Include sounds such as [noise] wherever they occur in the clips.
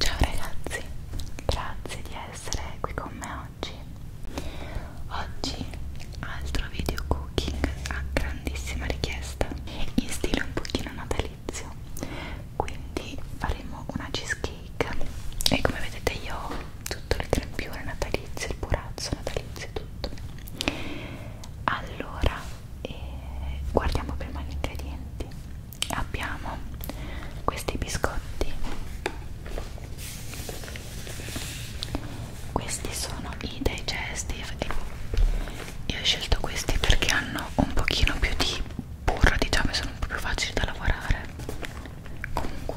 Ciao ragazzi, grazie di essere qui con me oggi. Oggi altro video cooking a grandissima richiesta in stile un pochino natalizio. Quindi faremo una cheesecake e come vedete io ho tutto il crempione natalizio, il purazzo natalizio e tutto. Allora e guardiamo prima gli ingredienti abbiamo questi biscotti questi sono i digestive io ho scelto questi perché hanno un pochino più di burro diciamo e sono un po' più facili da lavorare comunque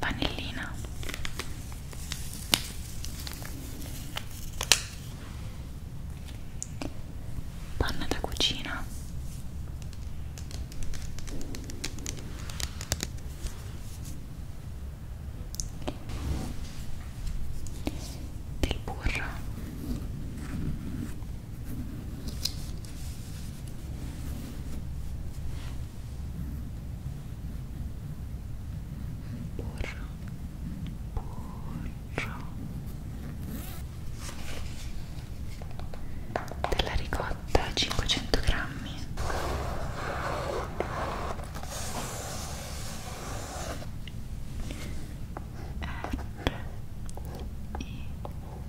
Vanillina Panna da cucina del burro burro burro della ricotta 500 grammi R I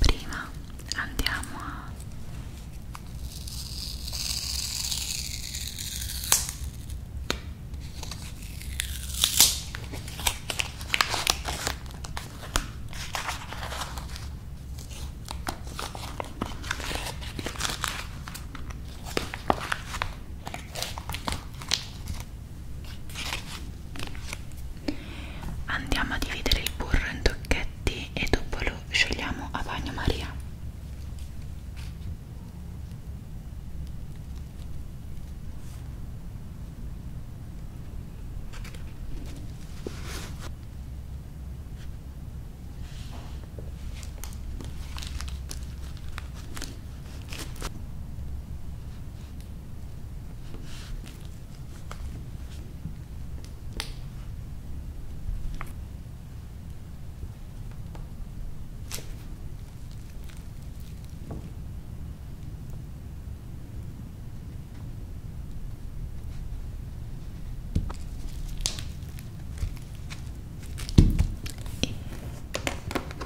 prima andiamo a Andiamo a dividere il burro in tocchetti e dopo lo sciogliamo a bagnomaria.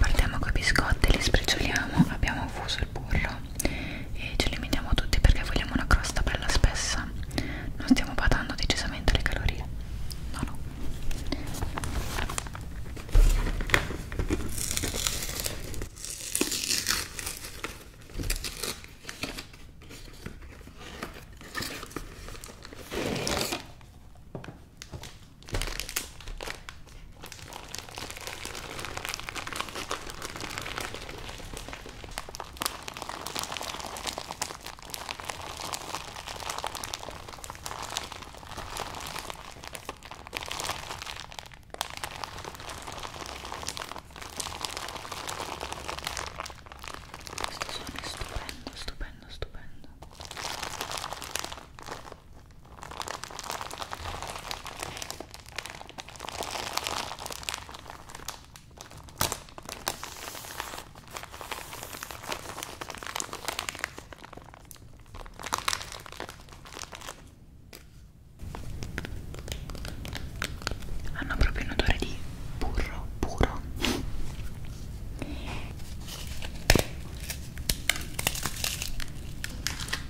Partiamo con i biscotti, li sprigioliamo, abbiamo fuso il burro po' e ce li miniamo tutti perché vogliamo una crosta bella spessa non stiamo badando decisamente alle calorie no no questo suono è stupendo, stupendo, stupendo. Hanno proprio un odore di burro puro.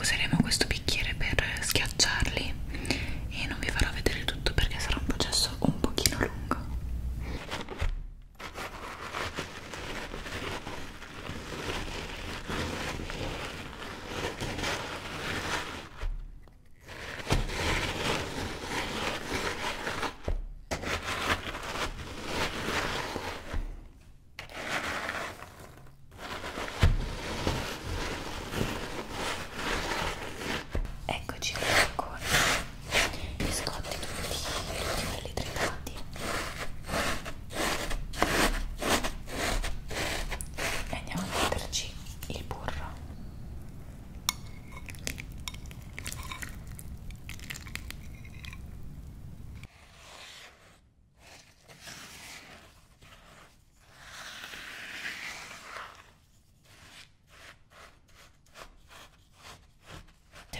useremo questo bicchiere per schiacciarli e non vi farò vedere tutto perché sarà un processo un pochino lungo Eccoci con i biscotti tutti, tutti belli tritati e andiamo a metterci il burro se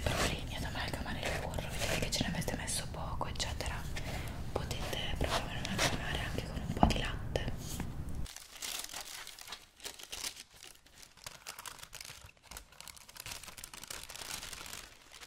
provate ad amalgamare il burro, vedete che ce ne avete messo poco, eccetera, potete provare ad amalgamare anche con un po' di latte.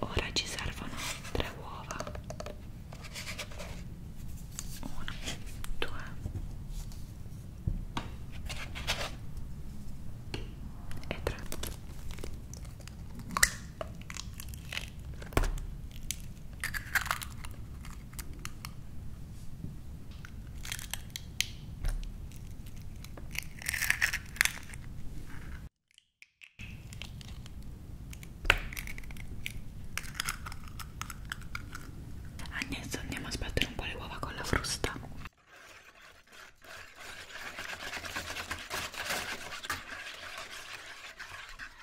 Ora ci servono tre uova. Uno, due. E tre. Agnese andiamo a sbattere un po' le uova con la frusta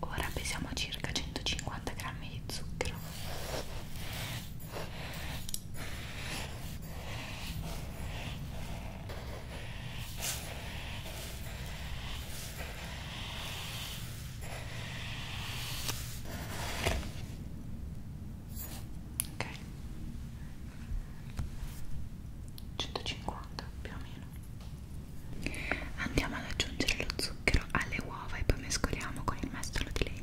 Ora pesiamo circa 150 grammi di zucchero ok 150 più o meno andiamo ad aggiungere lo zucchero alle uova e poi mescoliamo con il mestolo di legno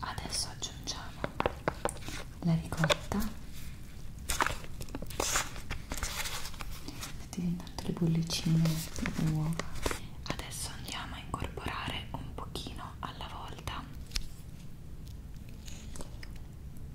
Adesso aggiungiamo la ricotta mettete intanto le bollicine le uova adesso andiamo a incorporare un pochino alla volta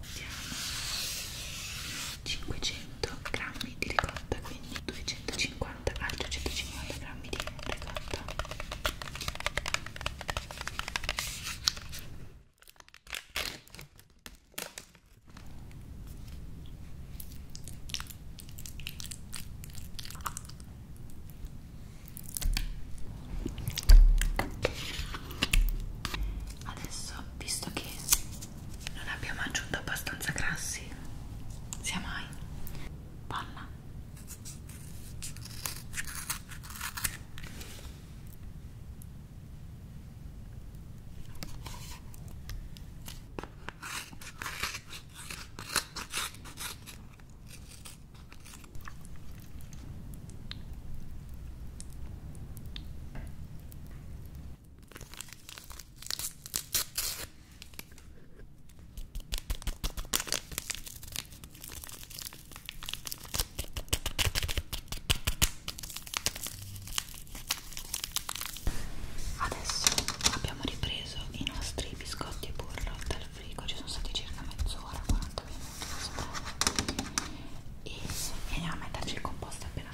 siamo 500 grammi di ricotta quindi 250 altri 150 grammi di ricotta Adesso, visto che non abbiamo aggiunto abbastanza grassi sia mai panna Adesso abbiamo ripreso i nostri biscotti e burro dal frigo, ci sono stati circa mezz'ora, 40 minuti. E andiamo a metterci il composto appena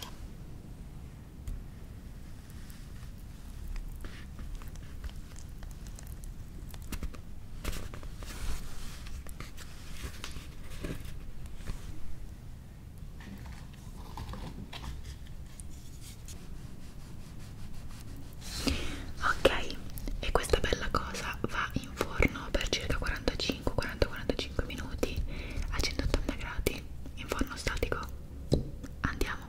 Ok, e questa bella cosa va in forno per circa 45-40-45 5 minuti a 180 gradi in forno statico andiamo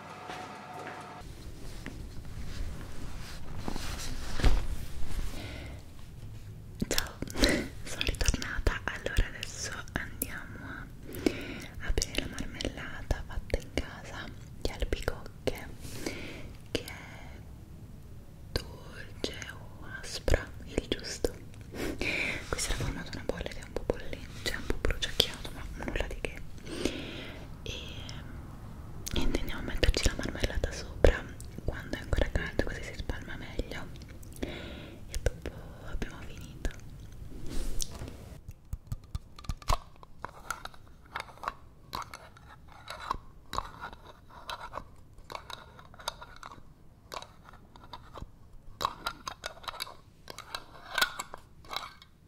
Ciao, [laughs] sono ritornata. Allora adesso andiamo a aprire la marmellata fatta in casa di albicocche che è dolce o aspra, il giusto. [laughs] Questa era formata una bolla che è un po' bollente, è cioè un po' bruciacchiato, ma nulla di che. E niente, andiamo a metterci la marmellata sopra quando è ancora calda, così si spalma meglio. E dopo abbiamo finito.